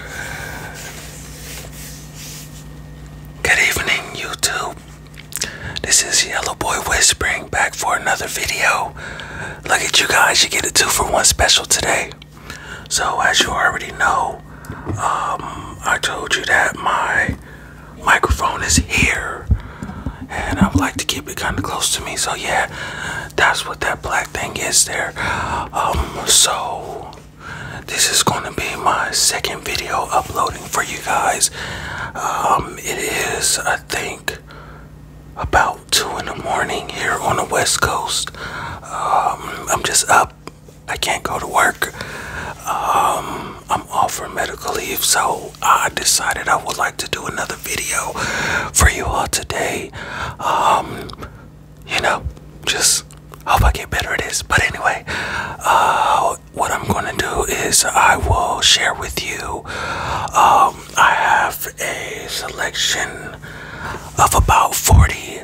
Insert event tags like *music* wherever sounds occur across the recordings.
Good evening, YouTube. This is Yellow Boy Whispering back for another video. Look at you guys, you get a two for one special today. So, as you already know, um, I told you that my microphone is here and I would like to keep it kind of close to me. So, yeah, that's what that black thing is there. Um, so this is going to be my second video uploading for you guys. Um, it is, I think, about 2 in the morning here on the West Coast. Um, I'm just up. I can't go to work. Um, I'm off for medical leave, so I decided I would like to do another video for you all today you know, just hope I get better at this. But anyway, uh, what I'm going to do is I will share with you. Um, I have a selection of about 40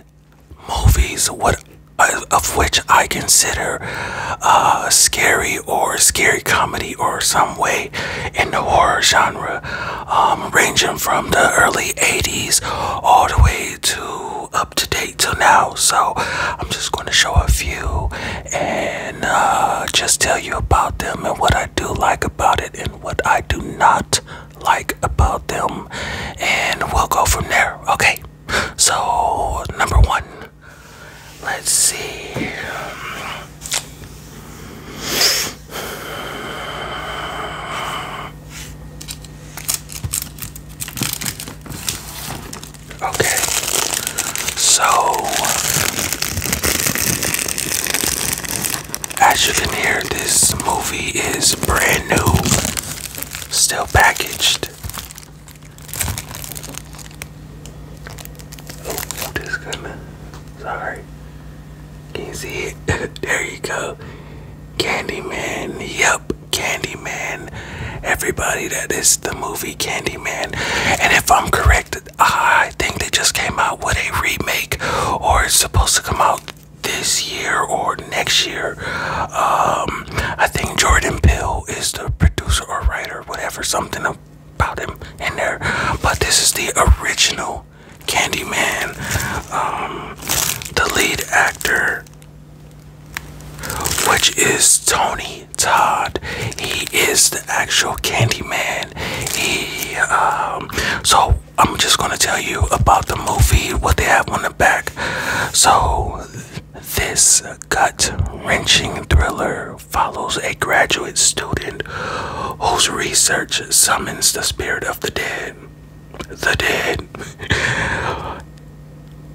movies, uh, of which I consider uh, scary or scary comedy or some way in the horror genre um, ranging from the early 80s all the way to up to date till now. So I'm just going to show a few and uh, just tell you about them and what I do like about it and what I do not like about them, and we'll go from there. Okay. So number one, let's see. Okay, so as you can hear, this movie is brand new, still packaged. Oh, this gonna, sorry, can you see it? *laughs* there you go. Candyman. Yep, Candyman. Everybody, that is the movie Candyman. And if I'm correct, I think they just came out with a remake, or it's supposed to come out this year or next year. Um, I think Jordan Peele is the producer or writer, whatever, something about him in there. But this is the original know, Candyman, um, the lead actor, which is Tony Todd. He is the actual Candyman. He, um, so I'm just gonna tell you about the movie, what they have on the back. So, this gut wrenching thriller follows a graduate student whose research summons the spirit of the dead the dead.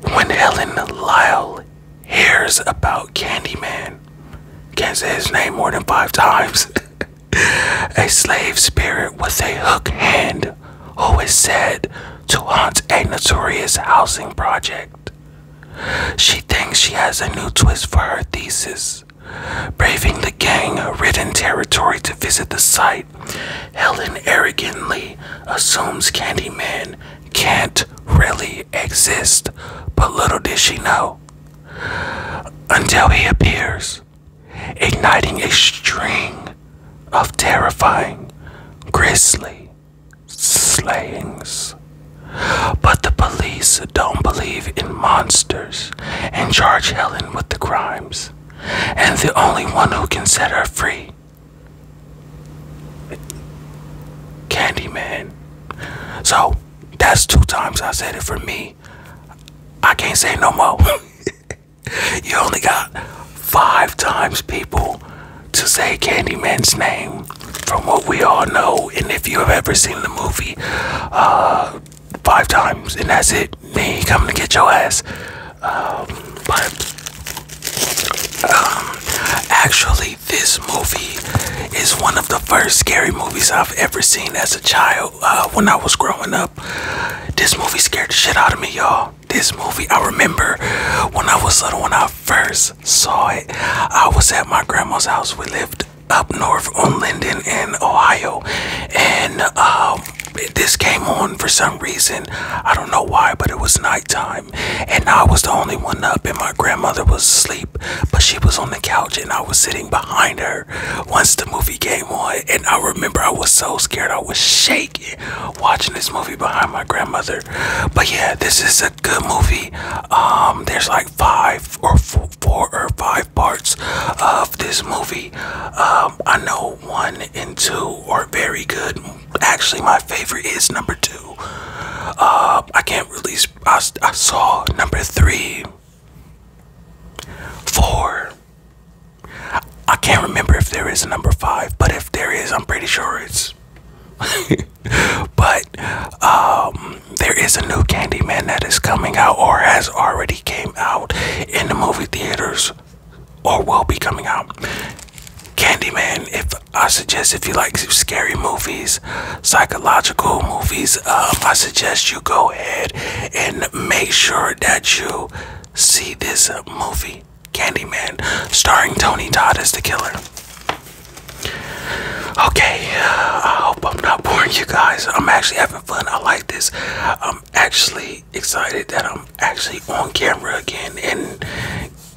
when Helen Lyle hears about Candyman, can't say his name more than five times. *laughs* a slave spirit with a hook hand who is said to haunt a notorious housing project. She thinks she has a new twist for her thesis, braving the gang ridden territory to visit the site Helen arrogantly assumes Candyman can't really exist, but little does she know. Until he appears, igniting a string of terrifying, grisly slayings. But the police don't believe in monsters and charge Helen with the crimes and the only one who can set her free. Candyman. So that's two times I said it for me. I can't say no more. *laughs* you only got five times people to say Candyman's name from what we all know. And if you have ever seen the movie, uh, five times, and that's it. Me coming to get your ass. Um, but um, actually, this movie is one of the first scary movies I've ever seen as a child. Uh, when I was growing up, this movie scared the shit out of me, y'all. This movie, I remember when I was little, when I first saw it, I was at my grandma's house. We lived up north on Linden in Ohio, and um, this came on for some reason. I don't know why, but it was nighttime. And I was the only one up, and my grandmother was asleep. But she was on the couch, and I was sitting behind her once the movie came on. And I remember I was so scared, I was shaking watching this movie behind my grandmother. But yeah, this is a good movie. Um, there's like five or four or five parts of this movie. Um, I know one and two are very good. Actually, my favorite is number two. Um, I can't release. I, saw number three, four. I can't remember if there is a number five, but if there is, I'm pretty sure it's. *laughs* but um, there is a new Candyman that is coming out or has already came out in the movie theaters or will be coming out. Candyman, if I suggest if you like scary movies, psychological movies, um, I suggest you go ahead and make sure that you see this movie, Candyman, starring Tony Todd as the killer. Okay, I hope I'm not boring you guys. I'm actually having fun. I like this. Um, actually excited that I'm actually on camera again and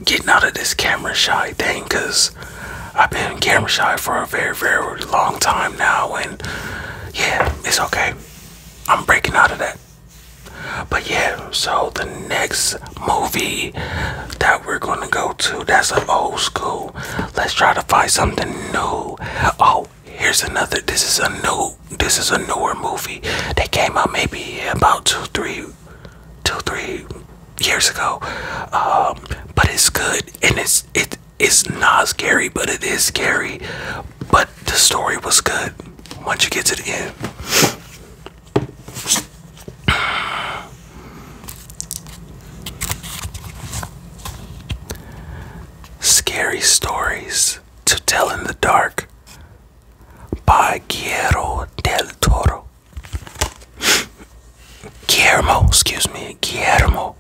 getting out of this camera shy thing because I've been camera shy for a very, very long time now. And yeah, it's okay. I'm breaking out of that. But yeah, so the next movie that we're gonna go to, that's an old school. Let's try to find something new. Oh, here's another. This is a new. This is a newer movie They came out maybe about two, three, two, three years ago. Um, but it's good and it's it is not scary, but it is scary. But the story was good. Once you get to the end. Scary Stories to Tell in the Dark by Guillermo del Toro. Guillermo, excuse me, Guillermo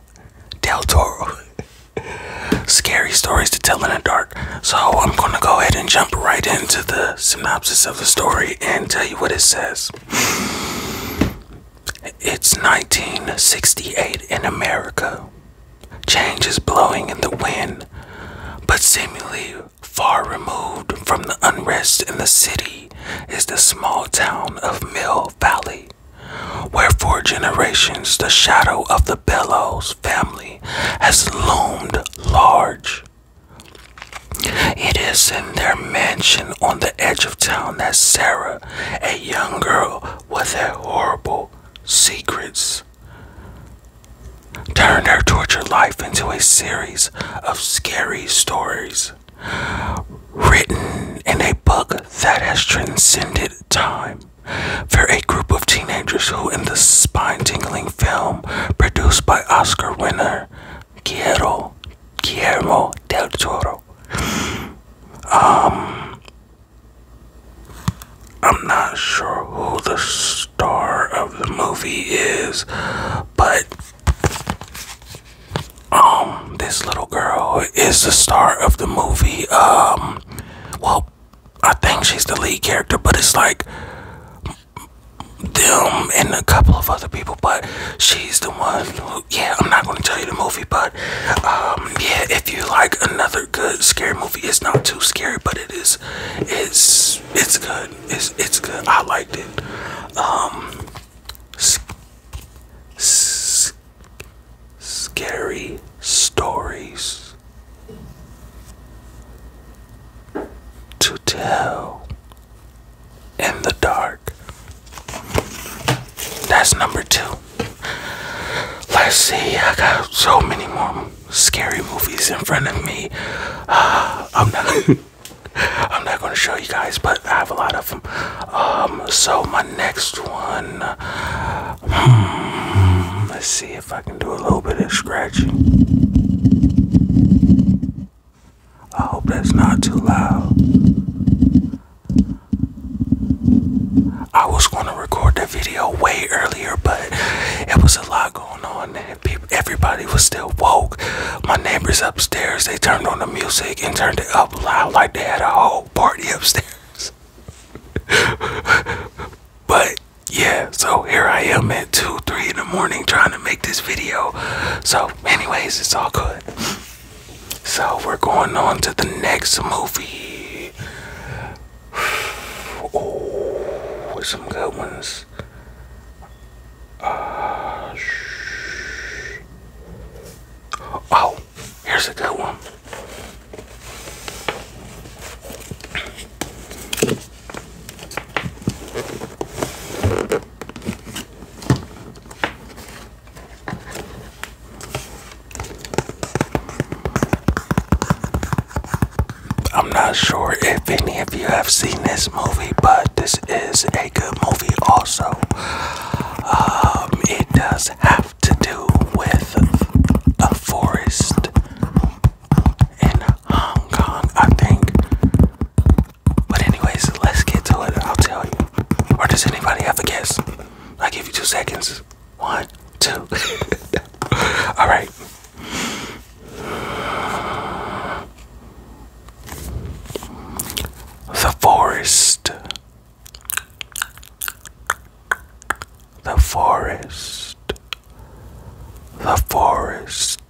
del Toro. *laughs* Scary Stories to Tell in the Dark. So I'm going to go ahead and jump right into the synopsis of the story and tell you what it says. It's 1968 in America. Change is blowing in the wind, but seemingly far removed from the unrest in the city is the small town of Mill Valley, where for generations the shadow of the Bellows family has loomed large. It is in their mansion on the edge of town that Sarah, a young girl was a horrible secrets turned her torture life into a series of scary stories written in a book that has transcended time for a group of teenagers who in the spine-tingling film produced by oscar winner guillermo del toro um, I'm not sure who the star of the movie is, but um this little girl is the star of the movie. Um well I think she's the lead character, but it's like them and a couple of other people, but she's the one who yeah, I'm not gonna tell you the movie, but um, yeah, if you like another good scary movie, it's not too scary, but it is. It's it's good. It's it's good. I liked it. Um, scary stories to tell in the dark. That's number two. Let's see, I got so many more scary movies in front of me. Uh, I'm not. *laughs* I'm not going to show you guys, but I have a lot of them. Um, so my next one, hmm, let's see if I can do a little bit of scratching. I hope that's not too loud. I was gonna record the video way earlier, but it was a lot going on. And everybody was still woke. My neighbors upstairs, they turned on the music and turned it up loud like they had a whole party upstairs. *laughs* but yeah, so here I am at 2 3 in the morning trying to make this video. So, anyways, it's all good. So we're going on to the next movie. Oh, some good ones. Uh, oh, here's a good one. I'm not sure if any of you have seen this movie, but this is a good movie, also. Um, it does have to do with a forest in Hong Kong, I think. But, anyways, let's get to it. I'll tell you. Or does anybody have a guess? I give you two seconds. One, two. *laughs* All right. The forest. The forest. The forest.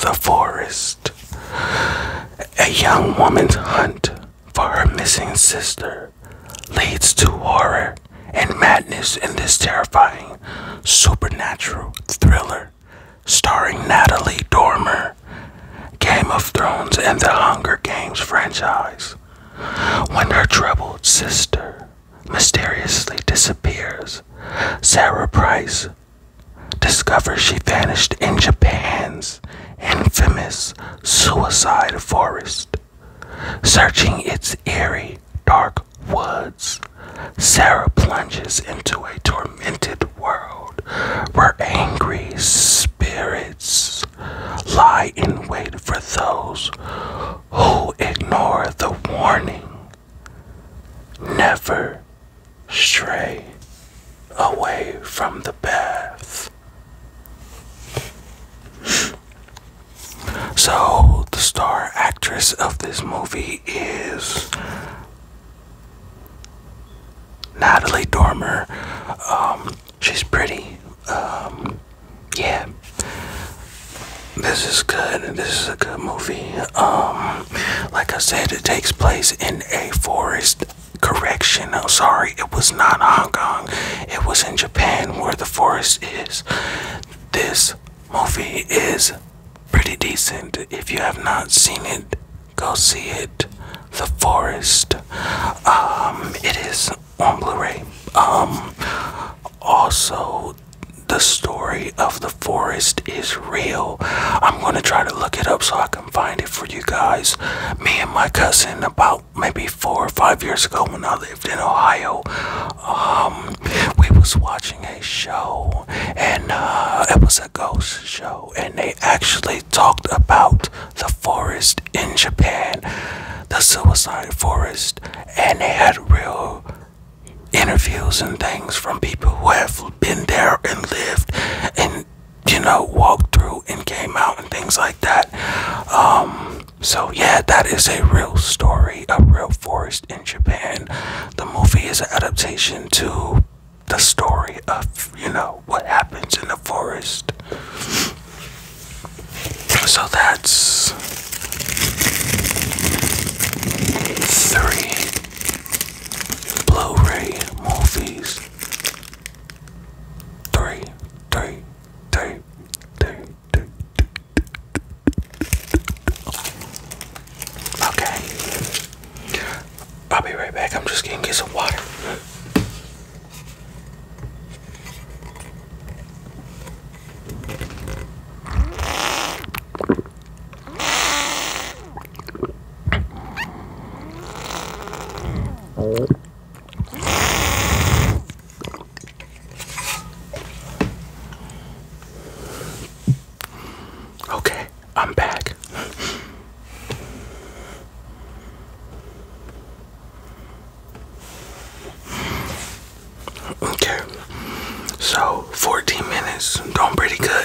The forest a young woman's hunt for her missing sister leads to horror and madness in this terrifying supernatural thriller starring Natalie Dormer, Game of Thrones, and the Hunger Games franchise. When her troubled sister mysteriously disappears, Sarah Price Discover she vanished in Japan's infamous suicide forest. Searching its eerie, dark woods, Sarah plunges into a tormented world where angry spirits lie in wait for those who ignore the warning. Never stray away from the path. So, the star actress of this movie is Natalie Dormer. Um, she's pretty. Um, yeah. This is good. This is a good movie. Um, like I said, it takes place in a forest. Correction, I'm sorry, it was not Hong Kong, it was in Japan where the forest is. This movie is pretty decent. If you have not seen it, go see it. The Forest. Um, it is on Blu ray. Um, also, the story of The Forest is real. I'm going to try to look it up so I can find it for you guys. Me and my cousin, about maybe four or five years ago when I lived in Ohio, um, we was watching a show, and uh, it was a ghost show, and they actually talked about the forest in Japan, the suicide forest, and they had real interviews and things from people who have been there and lived and you know, walked through and came out and things like that. Um, so yeah, that is a real story, a real forest in Japan. The movie is an adaptation to the story of, you know, what happens in the forest. So that's three Blu-ray movies. Three, three, three, three, three, three. Okay. I'll be right back. I'm just gonna get some water. Okay, I'm back. Okay, so 14 minutes, doing pretty good.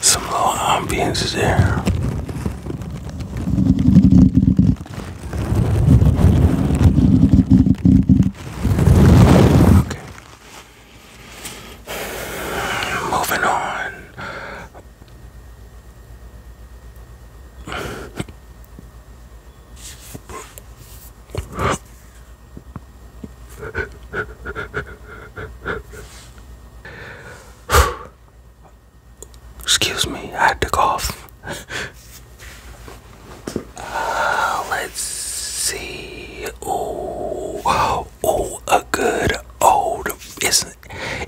Some little ambience there. Okay. Moving on. Excuse me, I had to cough. Uh, let's see. Oh, oh, a good old. is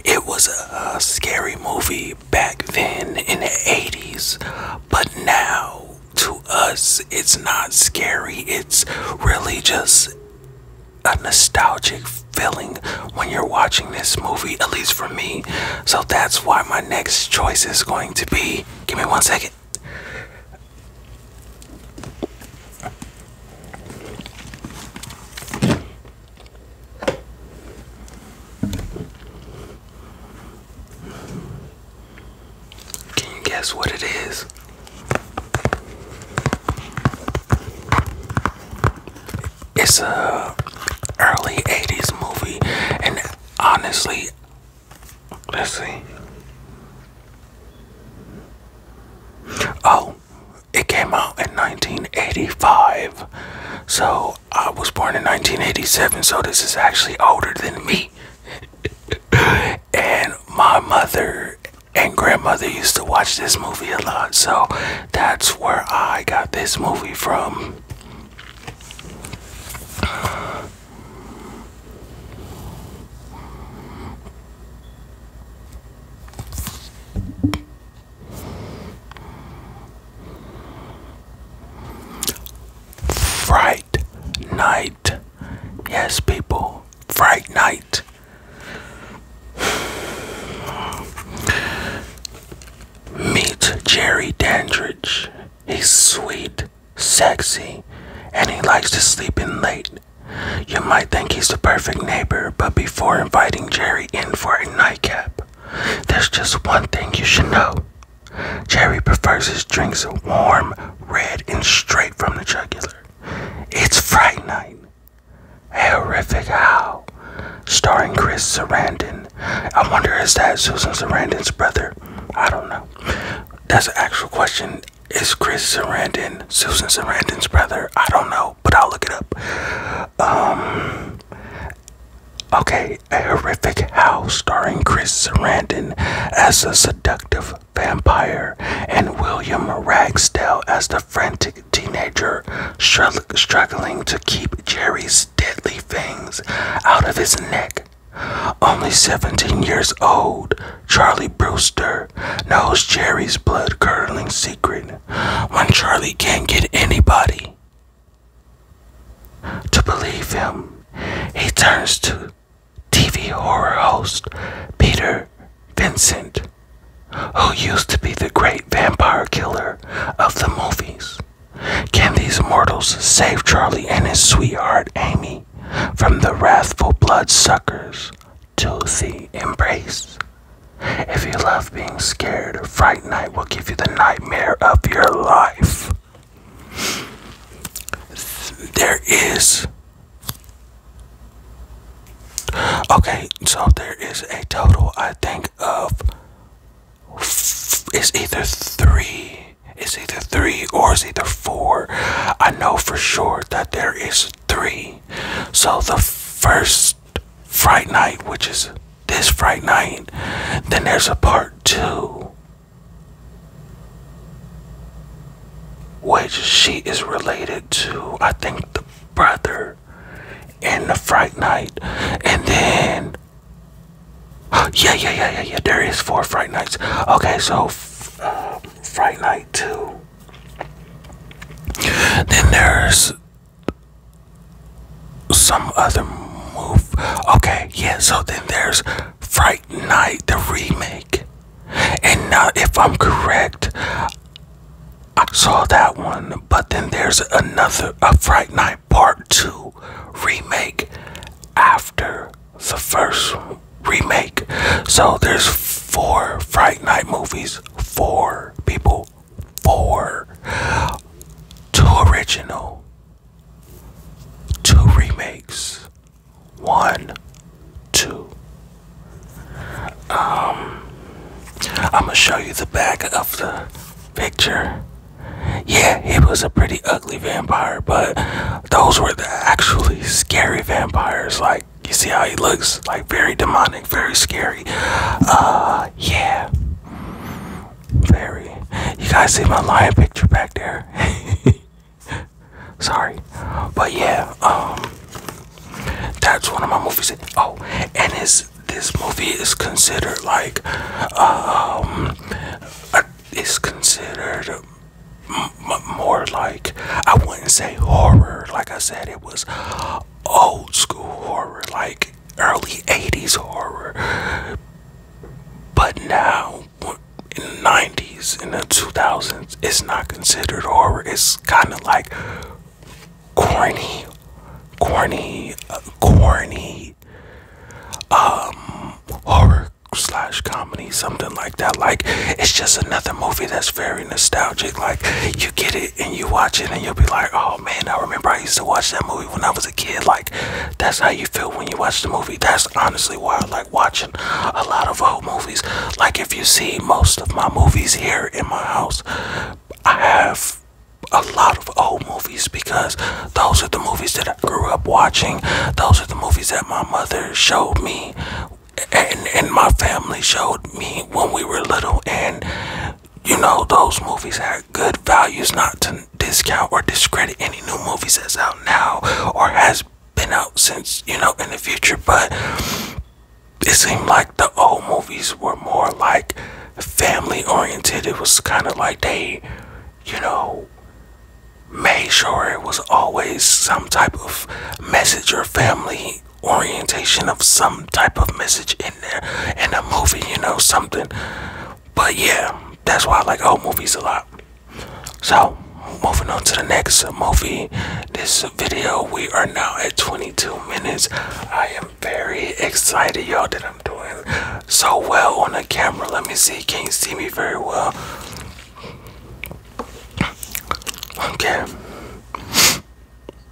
it was a scary movie back then in the 80s, but now to us, it's not scary. It's really just a nostalgic feeling when you're watching this movie, at least for me. So that's why my next choice is going to be. Give me one second. Can you guess what it is? It's a early 80s movie and honestly let's see. Oh, it came out in 1985. So I was born in 1987, so this is actually older than me. *laughs* and my mother and grandmother used to watch this movie a lot, so that's where I got this movie from. Fright Night. Yes, people, Fright Night. Meet Jerry Dandridge. He's sweet, sexy, and he likes to sleep in late. You might think he's the perfect neighbor, but before inviting Jerry in for a nightcap, there's just one thing you should know. Jerry prefers his drinks warm, red, and straight from the jugular. It's Fright Night. Horrific How, starring Chris Sarandon. I wonder is that Susan Sarandon's brother? I don't know. That's an actual question. Is Chris Sarandon Susan Sarandon's brother? I don't know, but I'll look it up. Um, Okay, a horrific howl starring Chris Sarandon as a seductive vampire and William Ragsdale as the frantic teenager struggling to keep Jerry's deadly fangs out of his neck. Only 17 years old, Charlie Brewster knows Jerry's blood curdling secret. When Charlie can't get anybody, to believe him, he turns to TV horror host Peter Vincent, who used to be the great vampire killer of the movies. Can these mortals save Charlie and his sweetheart Amy from the wrathful bloodsuckers to the embrace? If you love being scared, Fright Night will give you the nightmare of your life. There is. Okay, so there is a total, I think, of. It's either three. It's either three or it's either four. I know for sure that there is three. So the first Fright Night, which is this Fright Night, then there's a part two which she is related to, I think, the brother in the Fright Night. And then, *gasps* yeah, yeah, yeah, yeah, yeah, there is four Fright Nights. Okay, so uh, Fright Night 2. Then there's some other move. Okay, yeah, so then there's Fright Night, the remake. And now, if I'm correct, I saw that one, but then there's another, a Fright Night Part 2 remake after the first remake. So there's four Fright Night movies, four people, four, two original, two remakes. One, two. Um, I'm gonna show you the back of the picture. Yeah, it was a pretty ugly vampire, but those were the actually scary vampires. Like, you see how he looks? Like, very demonic, very scary. Uh, yeah very. You guys see my lion picture back there? *laughs* Sorry, but yeah, um, that's one of my movies. Oh, and it's this movie is considered like, um, it's considered more like I wouldn't say horror. Like I said, it was old school horror, like early '80s horror but now, in the 90s, in the 2000s, it's not considered horror. It's kind of like corny, corny, uh, corny um, horror slash comedy, something like that. Like, it's just another movie that's very nostalgic. Like, you get it and you watch it and you'll be like, oh man, I remember I used to watch that movie when I was a kid. Like, that's how you feel when you watch the movie. That's honestly why I like watching a lot of old movies. Like if you see most of my movies here in my house, I have a lot of old movies because those are the movies that I grew up watching. Those are the movies that my mother showed me and my family showed me when we were little and you know those movies had good values not to discount or discredit any new movies that's out now or has been out since you know in the future, but it seemed like the old movies were more like family oriented. It was kind of like they, you know, made sure it was always some type of message or family orientation of some type of message in there in a movie, you know, something but yeah, that's why I like old movies a lot. So, moving on to the next movie. This video, we are now at 22 minutes. I am very excited, y'all, that I'm doing so well on the camera. Let me see, can you see me very well? Okay.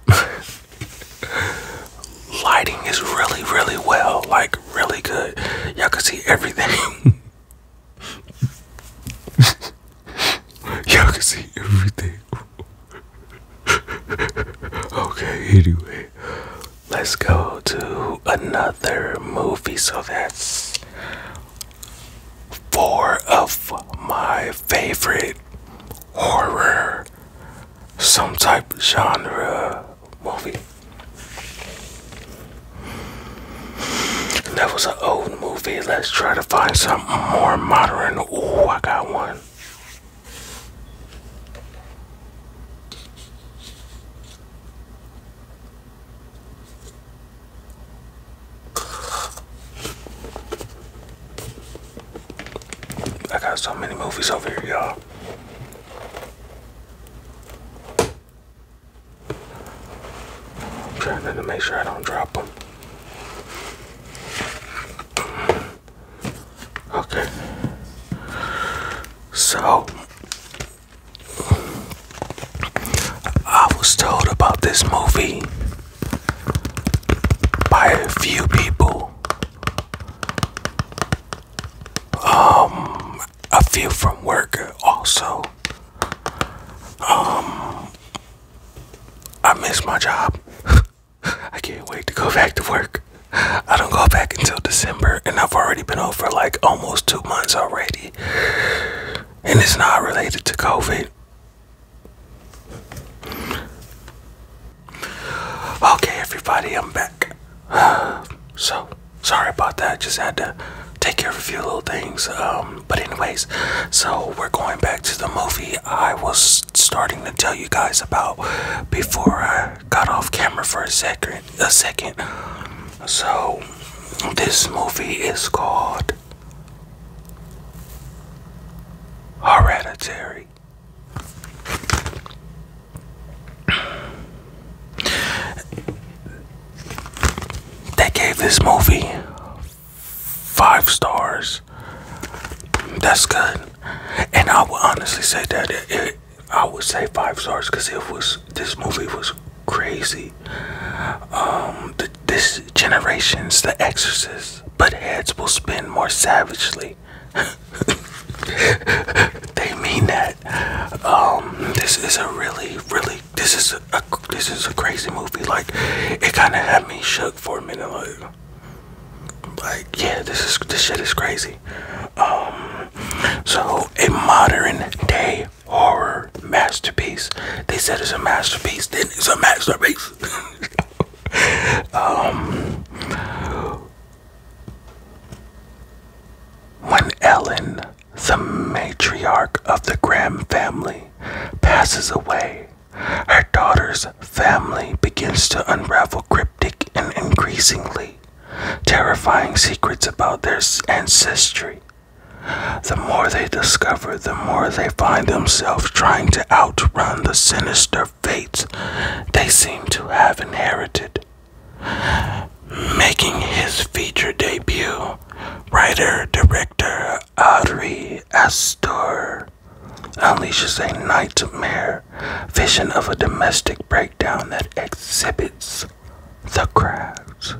*laughs* lighting is really, really well, like really good. Y'all can see everything. *laughs* Y'all can see everything. okay, anyway, let's go to another movie. So that's four of my favorite horror, some type genre movie. That was an old movie. Let's try to find something more modern. Ooh, I got one. I got so many movies over here, y'all. I'm trying to make sure I don't drop them. Okay. So, I was told about this movie by a few people. Um, a few from work also. Um, I miss my job. *laughs* I can't wait to go back to work. I don't go back until December, and I've already been off for like almost two months already. And it's not related to COVID. Okay, everybody, I'm back. *sighs* so sorry about that just had to take care of a few little things um, but anyways so we're going back to the movie i was starting to tell you guys about before i got off camera for a second a second so this movie is called hereditary they gave this movie five stars. That's good, and I will honestly say that I would say five stars because it was this movie was crazy. Um, this generation's The Exorcist, but heads will spin more savagely. *laughs* they mean that. Um, this is a really, really, this is a, this is a crazy movie. Like, it kind of had me shook for a minute. Like, like, yeah, this is this shit is crazy. Um, so a modern day horror masterpiece. They said it's a masterpiece. Then it's a masterpiece. *laughs* Um, when Ellen, the matriarch of the Graham family, passes away, her daughter's family begins to unravel cryptic and increasingly terrifying secrets about their ancestry. The more they discover, the more they find themselves trying to outrun the sinister fates they seem to have inherited. Making his feature debut, writer director Audrey Astor unleashes a nightmare vision of a domestic breakdown that exhibits the craft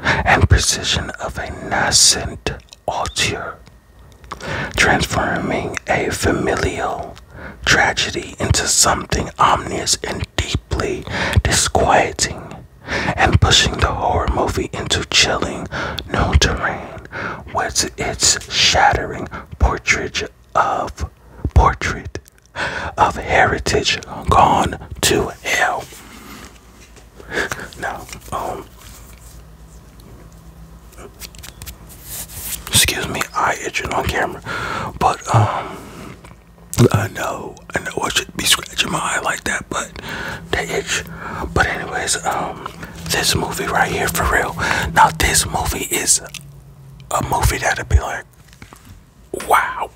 and precision of a nascent auteur, transforming a familial tragedy into something ominous and deeply disquieting, and pushing the horror movie into chilling new terrain with its shattering portrait of portrait of heritage gone to hell. Now, um Excuse me, I itching on camera. But um I know, I know I should be scratching my eye like that, but they itch. But anyways, um this movie right here for real. Now this movie is a movie that'd be like wow.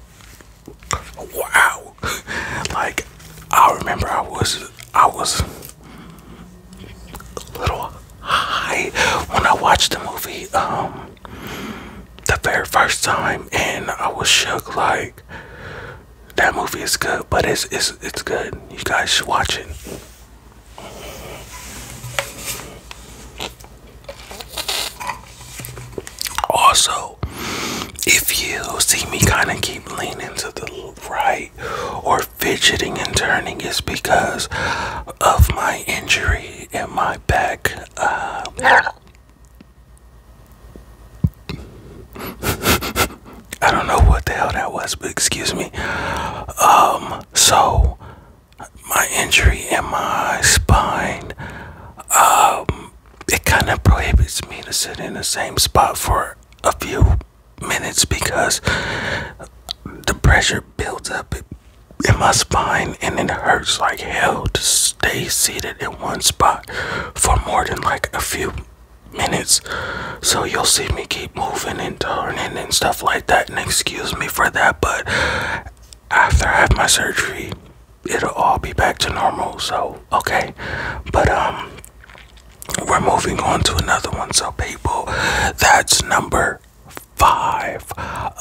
Wow. *laughs* like I remember I was I was little high when I watched the movie um the very first time and I was shook like that movie is good but it's it's it's good. You guys should watch it. Also, if you see me kind of keep leaning to the right or fidgeting and turning, it's because of my injury in my back. Um, *laughs* I don't know what the hell that was, but excuse me. Um, so my injury in my spine, um, it kind of prohibits me to sit in the same spot for a few minutes because the pressure builds up in my spine and it hurts like hell to stay seated in one spot for more than like a few minutes so you'll see me keep moving and turning and stuff like that and excuse me for that but after i have my surgery it'll all be back to normal so okay but um we're moving on to another one so people that's number five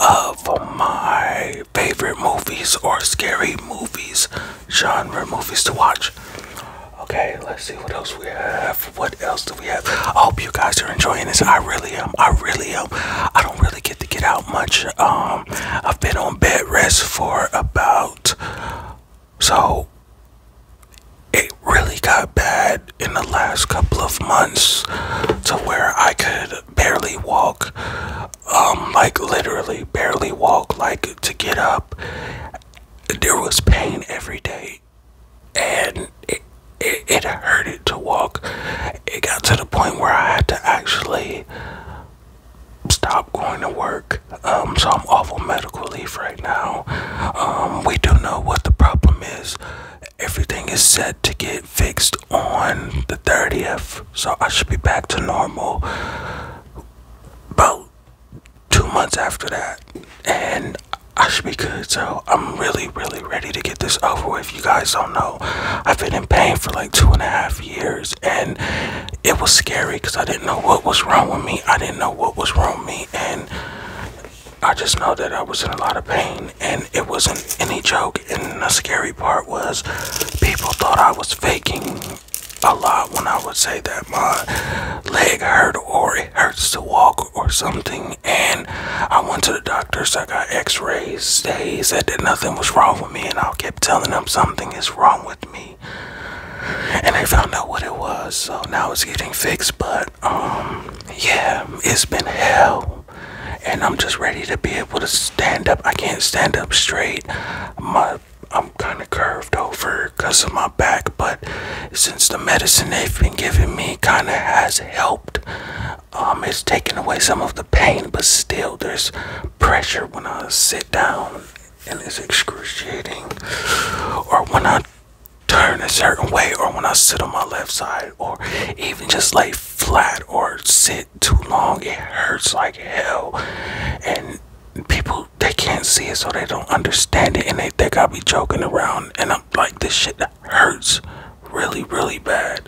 of my favorite movies or scary movies, genre movies to watch. Okay, let's see what else we have. What else do we have? I hope you guys are enjoying this. I really am. I really am. I don't really get to get out much. Um, I've been on bed rest for about so it really got bad in the last couple of months to where I could barely walk, um, like literally barely walk, like to get up. There was pain every day, and it, it, it hurted to walk. It got to the point where I had to actually stop going to work. Um, so I'm off on medical leave right now. Um, we do know what the problem is. Everything is set to get fixed on the 30th, so I should be back to normal about two months after that, and I should be good. So I'm really, really ready to get this over with. You guys don't know, I've been in pain for like two and a half years, and it was scary because I didn't know what was wrong with me. I didn't know what was wrong with me, and I just know that I was in a lot of pain and it wasn't any joke. And the scary part was people thought I was faking a lot when I would say that my leg hurt or it hurts to walk or something. And I went to the doctors, so I got x rays. They said that nothing was wrong with me, and I kept telling them something is wrong with me. And they found out what it was, so now it's getting fixed. But um yeah it's been hell and i'm just ready to be able to stand up i can't stand up straight my i'm kind of curved over because of my back but since the medicine they've been giving me kind of has helped um it's taken away some of the pain but still there's pressure when i sit down and it's excruciating or when i turn a certain way or when I sit on my left side or even just lay flat or sit too long it hurts like hell and people they can't see it so they don't understand it and they think I'll be joking around and I'm like this shit hurts really really bad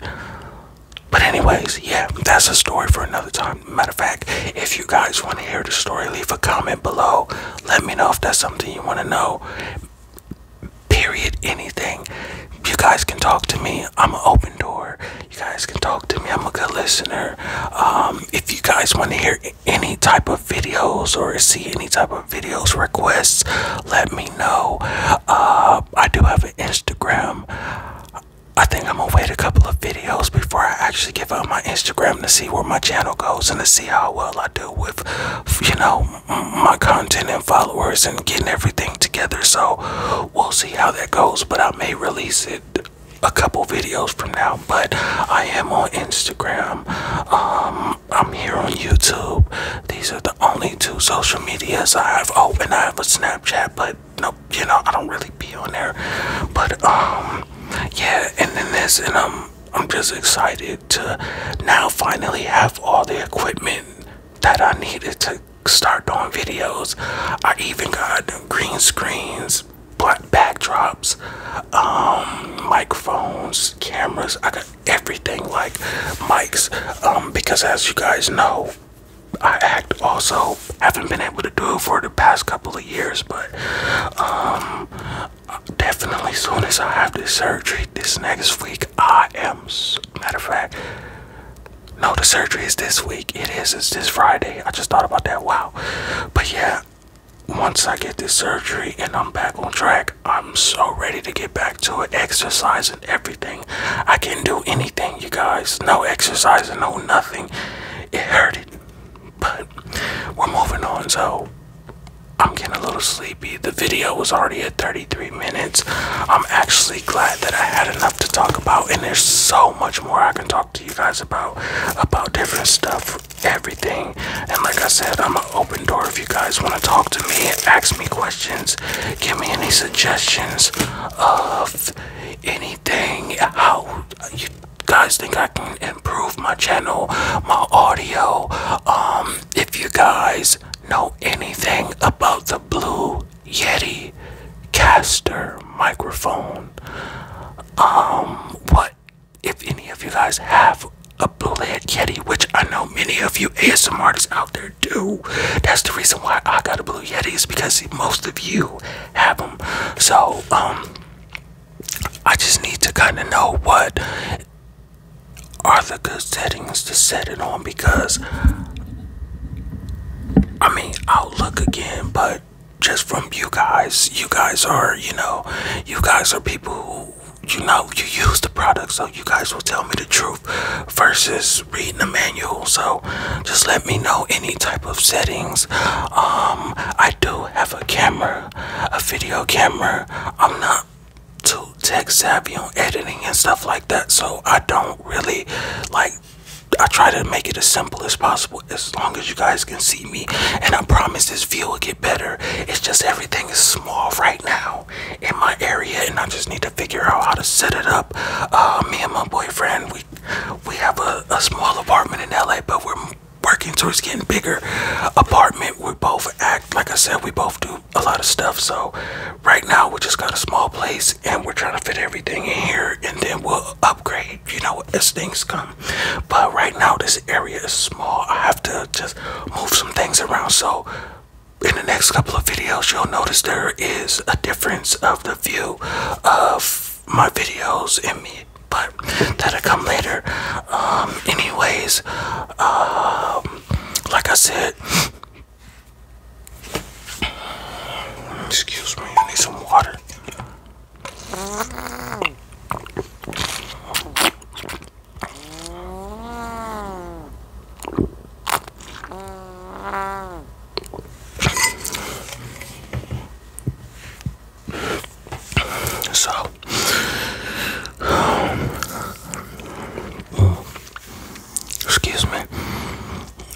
but anyways yeah that's a story for another time matter of fact if you guys want to hear the story leave a comment below let me know if that's something you want to know period anything you guys can talk to me i'm an open door you guys can talk to me i'm a good listener um, if you guys want to hear any type of videos or see any type of videos requests let me know uh, i do have an instagram i think i'm gonna wait a couple of videos before i actually give up my instagram to see where my channel goes and to see how well i do with you know my content and followers and getting everything together. So we'll see how that goes. But I may release it a couple videos from now. But I am on Instagram. Um, I'm here on YouTube. These are the only two social medias I have. Oh, and I have a Snapchat, but no, you know, I don't really be on there. But um, yeah, and then this, and um, I'm just excited to now finally have all the equipment that I needed to start doing videos. I even got green screens, black backdrops, um, microphones, cameras. I got everything like mics um, because as you guys know, I act also haven't been able to do it for the past couple of years, but um, definitely soon as I have this surgery this next week, I am, matter of fact, no, the surgery is this week. It is, it's this Friday. I just thought about that. Wow. But yeah, once I get this surgery and I'm back on track, I'm so ready to get back to it. Exercise and everything. I can do anything, you guys. No exercise and no nothing. It hurted. But we're moving on. So I'm getting a little sleepy. The video was already at 33 minutes. I'm actually glad that I had enough to talk about, and there's so much more I can talk to you guys about about different stuff, everything. And like I said, I'm an open door if you guys want to talk to me, ask me questions, give me any suggestions of anything, how you guys think I can improve my channel, my audio. Um, if you guys know anything about the Blue Yeti caster microphone, um, what if any of you guys have a Blue Yeti, which I know many of you ASMR artists out there do. That's the reason why I got a Blue Yeti is because most of you have them. So, um, I just need to kind of know what are the good settings to set it on because I mean, I'll look again, but just from you guys, you guys are, you know, you guys are people who, you know, you use the product, so you guys will tell me the truth versus reading the manual. So just let me know any type of settings. Um, I do have a camera, a video camera. I'm not not too tech savvy on editing and stuff like that, so I don't really like. I try to make it as simple as possible as long as you guys can see me, and I promise this view will get better. It's just everything is small right now in my area, and I just need to figure out how to set it up. Uh, me and my boyfriend, we we have a, a small apartment in LA, but we're working towards getting bigger apartment we both act like i said we both do a lot of stuff. So right now we just got a small place and we're trying to fit everything in here and then we'll upgrade, you know, as things come. But right now this area is small. I have to just move some things around. So in the next couple of videos you'll notice there is a difference of the view of my videos and me but that'll come later um, anyways uh, like I said, excuse me, I need some water. So Excuse me.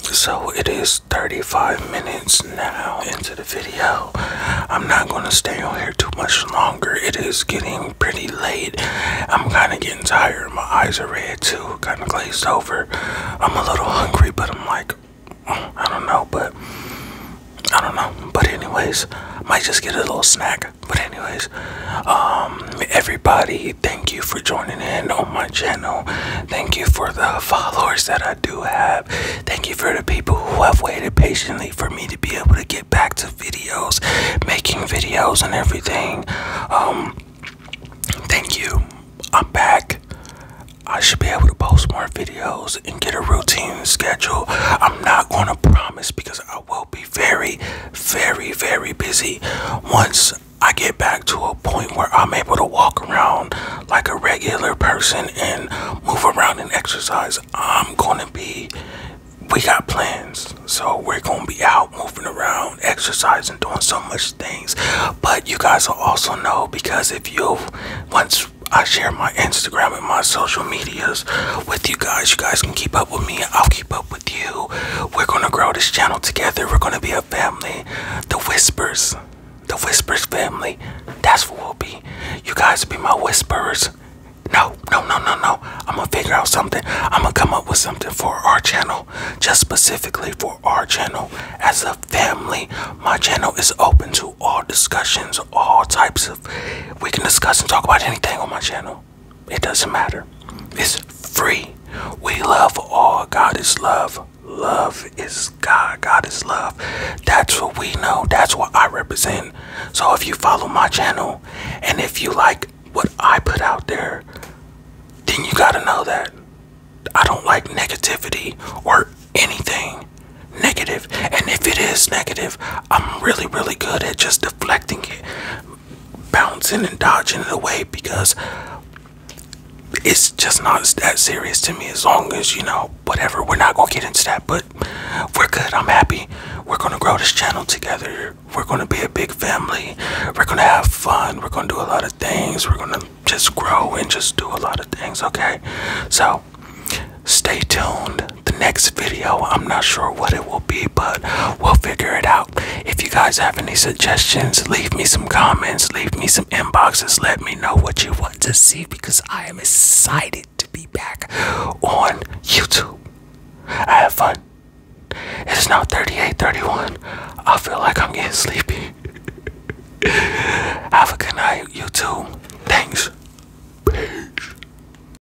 So it is 35 minutes now into the video. I'm not going to stay on here too much longer. It is getting pretty late. I'm kind of getting tired. My eyes are red too, kind of glazed over. I'm a little hungry, but I'm like, I don't know, but I don't know. But anyways, might just get a little snack. But anyways, um, everybody, thank you for joining in on my channel. Thank you for the followers that I do have. Thank you for the people who have waited patiently for me to be able to get back to videos, making videos and everything. Um, thank you. I'm back. I should be able to post more videos and get a routine schedule. I'm not going to promise because I will be very, very, very, busy once I get back to a point where I'm able to walk around like a regular person and move around and exercise. I'm gonna be, we got plans. So we're gonna be out moving around, exercising, doing so much things. But you guys will also know because if you, once I share my Instagram and my social medias with you guys, you guys can keep up with me. I'll keep up with you. We're gonna grow this channel together. We're gonna be a family. The Whispers, the Whispers family. That's what we'll be. You guys will be my whisperers. No, no, no, no, no. I'm gonna figure out something. I'm gonna come up with something for our channel, just specifically for our channel as a family. My channel is open to all discussions, all types of. We can discuss and talk about anything on my channel. It doesn't matter. It's free. We love all. God is love. Love is God. God is love. That's what we know. That's what I represent. So if you follow my channel and if you like what I put out there, then you gotta know that I don't like negativity or anything negative. And if it is negative, I'm really, really good at just deflecting it, bouncing and dodging it away because it's just not that serious to me as long as you know whatever we're not gonna get into that but we're good i'm happy we're gonna grow this channel together we're gonna be a big family we're gonna have fun we're gonna do a lot of things we're gonna just grow and just do a lot of things okay so stay tuned the next video. I'm not sure what it will be, but we'll figure it out. If you guys have any suggestions, leave me some comments, leave me some inboxes, let me know what you want to see because I am excited to be back on YouTube. have fun. It's now 38:31. I feel like I'm getting sleepy. *laughs* have a good night, You YouTube. Thanks. Peace.